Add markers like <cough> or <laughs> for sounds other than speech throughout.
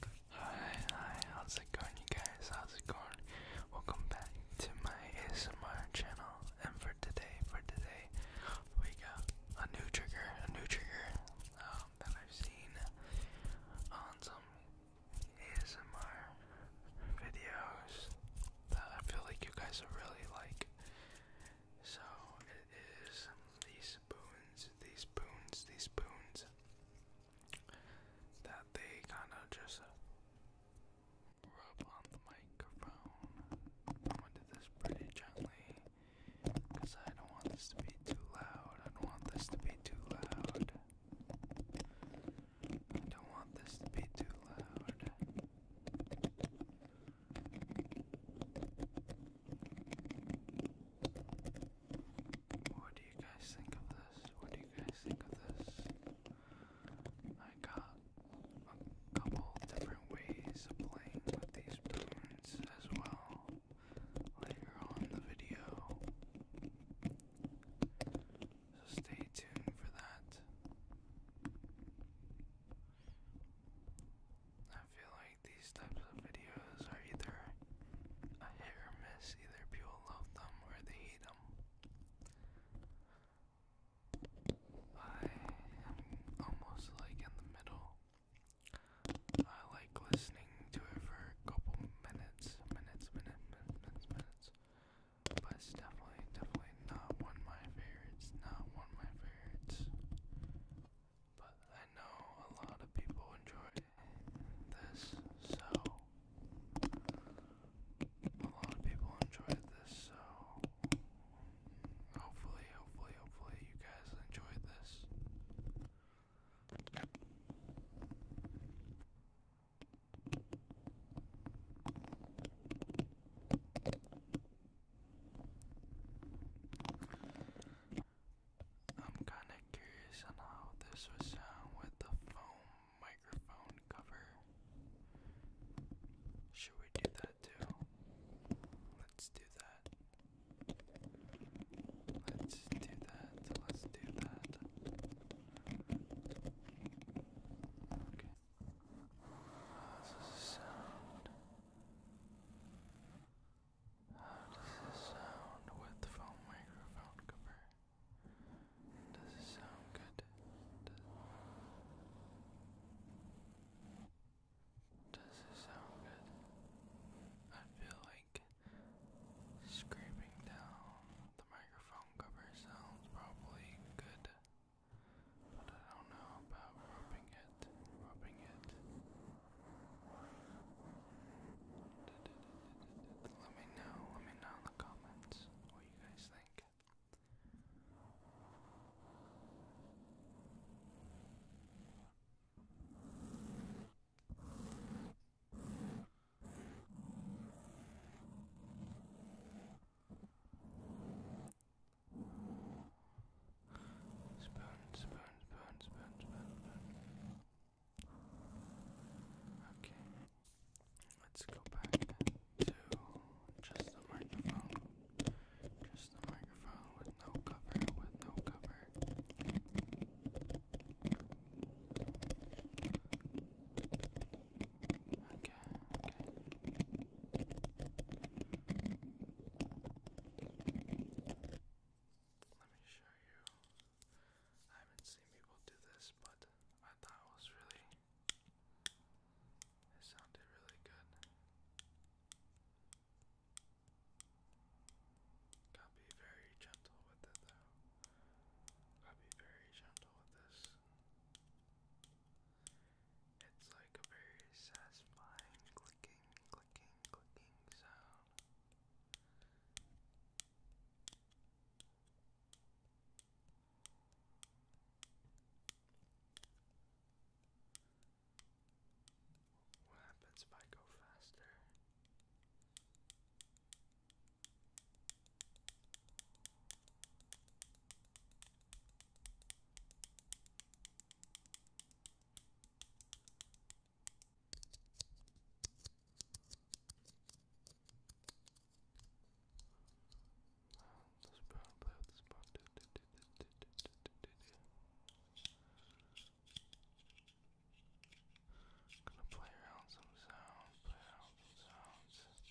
Hi, hi, how's it going you guys? How's it going? Welcome back to my ASMR channel and for today, for today, we got a new trigger, a new trigger um, that I've seen on some ASMR videos that I feel like you guys will really like. So it is these spoons, these spoons, these spoons that they kind of just rub on the microphone. I'm going this pretty gently I don't want this to be too loud. I don't want this to be too loud. I don't want this to be too loud. What do you guys think of this? What do you guys think of this? I got a couple different ways of playing with these balloons as well later on the video. So stay tuned for that. I feel like these types of videos are either a hair or miss. Either people love them or they hate them. I am almost like in the middle. I like listening to it for a couple minutes, minutes, minutes, minutes, minutes. But it's definitely, definitely not one of my favorites. Not one of my favorites. But I know a lot of people enjoy this, so a lot of people enjoyed this, so hopefully, hopefully, hopefully you guys enjoyed this. I'm kinda curious on how this would sound with the foam microphone cover. Should we do that too? Let's do that. Let's do that. Let's do that. Okay. How's the sound? How does this sound with foam microphone cover? Does it sound good? does it sound good? I feel like scraping down the microphone cover sounds probably good. But I don't know about rubbing it it, rubbing it. Let me know, let me know in the comments what you guys think. Spoon, spoon, spoon, spoon, spoon, Okay, let's go back to just the microphone. Just the microphone with no cover, with no cover. okay. Let me show you. I haven't seen people do this, but I thought it was really. It sounded really good. Gotta be very gentle with it, though. Gotta be very gentle with this. It's like a very satisfying clicking, clicking, clicking sound. What happens if I go faster? This brown play with this brown. Gonna play around some sounds, play around some sounds.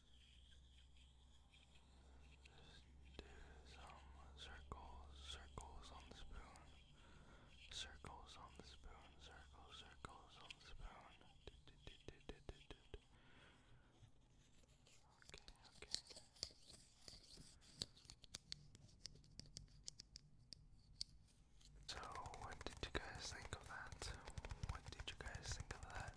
do some circles, circles on the spoon. Circles on the spoon, circles, circles on the spoon. Okay, okay. So, what did you guys think of that? What did you guys think of that?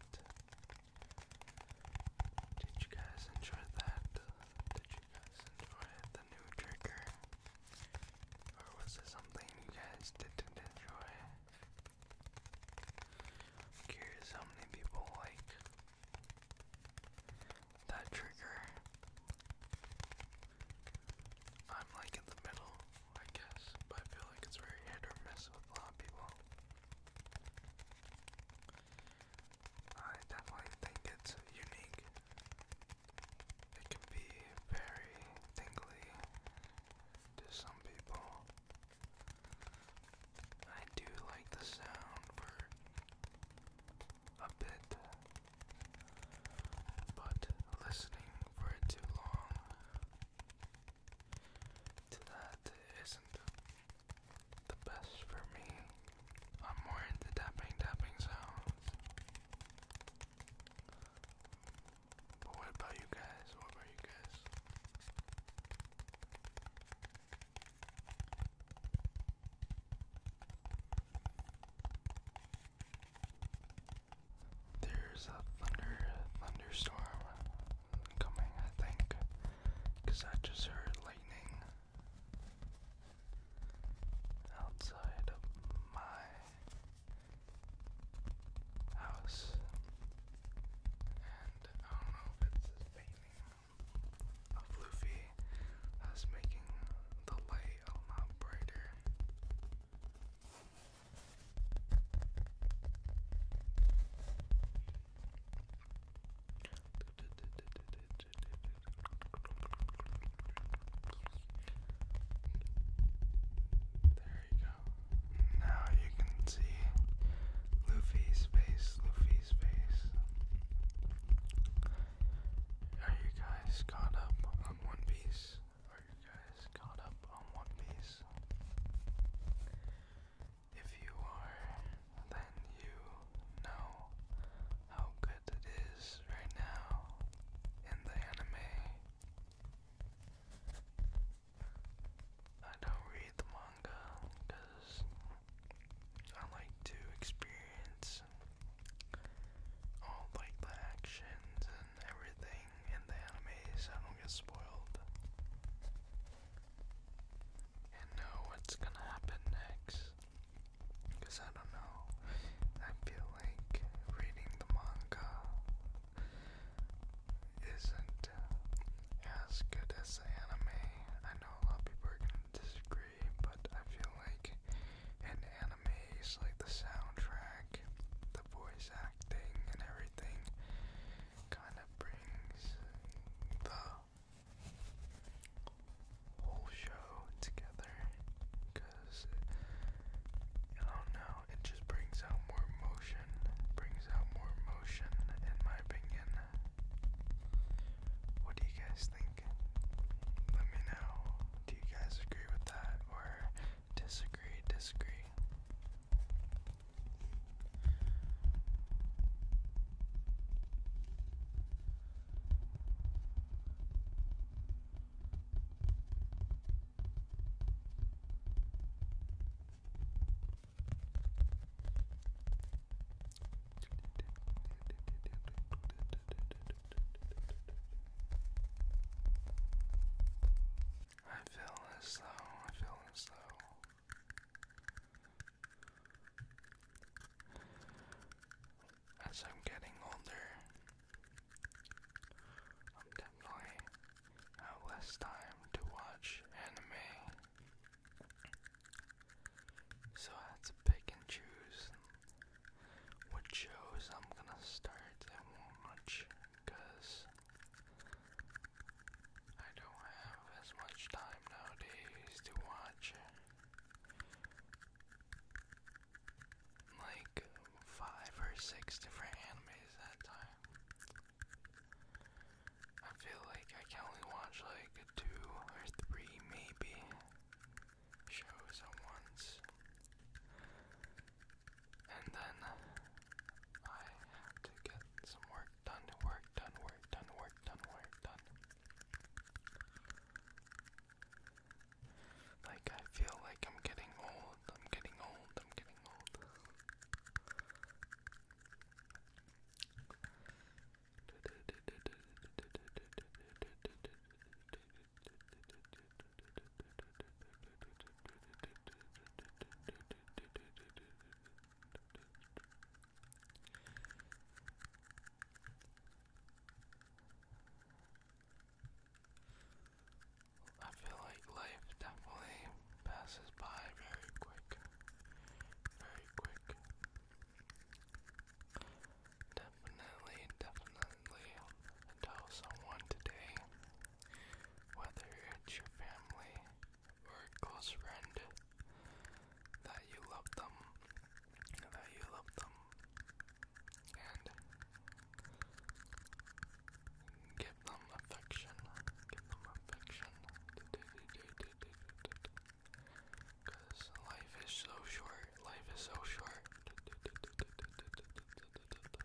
Did you guys enjoy that? Did you guys enjoy the new trigger? Or was it something you guys didn't enjoy? curious how many people like that trigger. I'm like in the middle, I guess, but I feel like it's very hit or miss with a lot of people. I definitely think it's unique. It can be very tingly to some people. I do like the sound for a bit, but listening for it too long that isn't the best for me. I'm more into tapping, tapping sounds. But what about you guys? What about you guys? There's a thunder thunderstorm coming, I think, because I just heard lightning outside of my house, and I don't know if it's this painting of Luffy that's making the light a lot brighter. There you go. Now you can see Luffy's face, Luffy's face. Are you guys caught up on One Piece? Are you guys caught up on One Piece? If you are, then you know how good it is right now in the anime. I don't read the manga because I like to experience all like the actions everything in the anime so I don't get spoiled. And know what's gonna happen next. Because I don't know. I feel like reading the manga isn't uh, as good as the anime. I know a lot of people are gonna disagree, but I feel like in anime, it's like the soundtrack, the voice acting, and everything everything kind of brings the whole show together I don't know, it just brings out more emotion, brings out more emotion in my opinion. What do you guys think? Let me know. Do you guys agree with that or Disagree, disagree. I feel as though, I feel as though as I'm getting older, I'm definitely have less time to watch anime. So I have to pick and choose what shows I'm gonna start and watch because I don't have as much time nowadays to watch like five or six different animes at a time. I feel like I can only watch like two or three maybe shows at once and then I have to get some work done, work done, work done, work done, work done. Like I feel like I'm getting old, I'm getting old, I'm getting old. <laughs> I feel like life definitely passes by very quick. Very quick. Definitely, definitely tell someone today, whether it's your family or a close friend, that you love them, that you love them, and give them affection, give them affection, because life is so short, life is so short. So,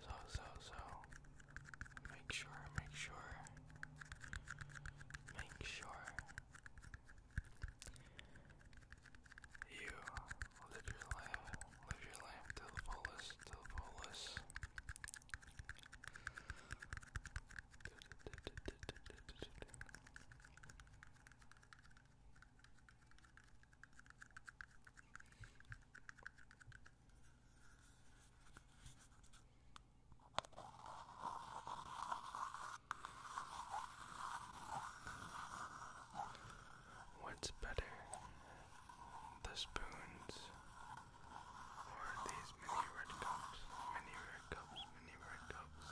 so, so, make sure, make sure, make sure you live your life, live your life to the fullest, to the fullest, What's better, the spoons or these mini red cups, mini red cups, mini red cups.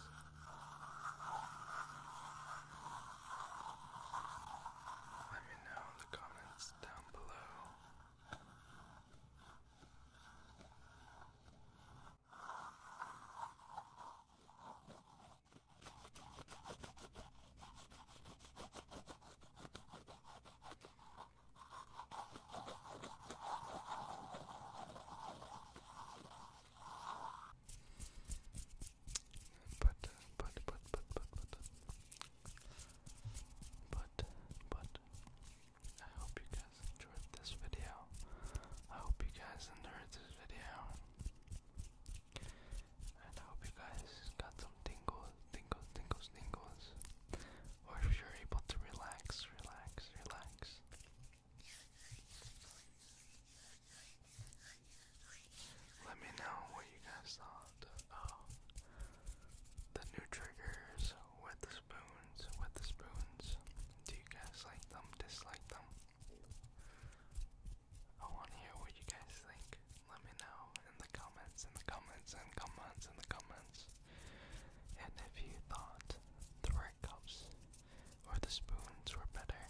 Let me know in the comments down below. But, but, but, but, but, but, but, but, I hope you guys enjoyed this video. I hope you guys enjoyed this video. And I hope you guys got some tingles tingles, tingles, tingles. Or if you're able to relax, relax, relax. Let me know what you guys thought of the new triggers with the spoons, with the spoons. Do you guys like them, dislike them? I want to hear what you guys think. Let me know in the comments, in the comments, and comments, in the comments. And if you thought the right cups or the spoons were better.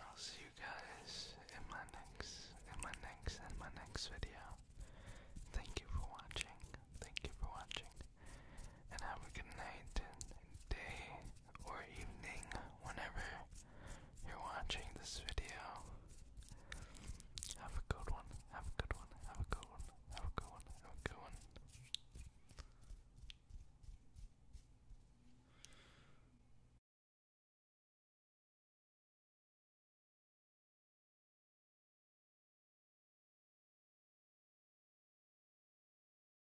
I'll see you guys in my next, in my next, in my next video. Thank you for watching. Thank you for watching. And have a good night and day or evening whenever you're watching this video. Have a good one, have a good one, have a good one, have a good one, have a good one.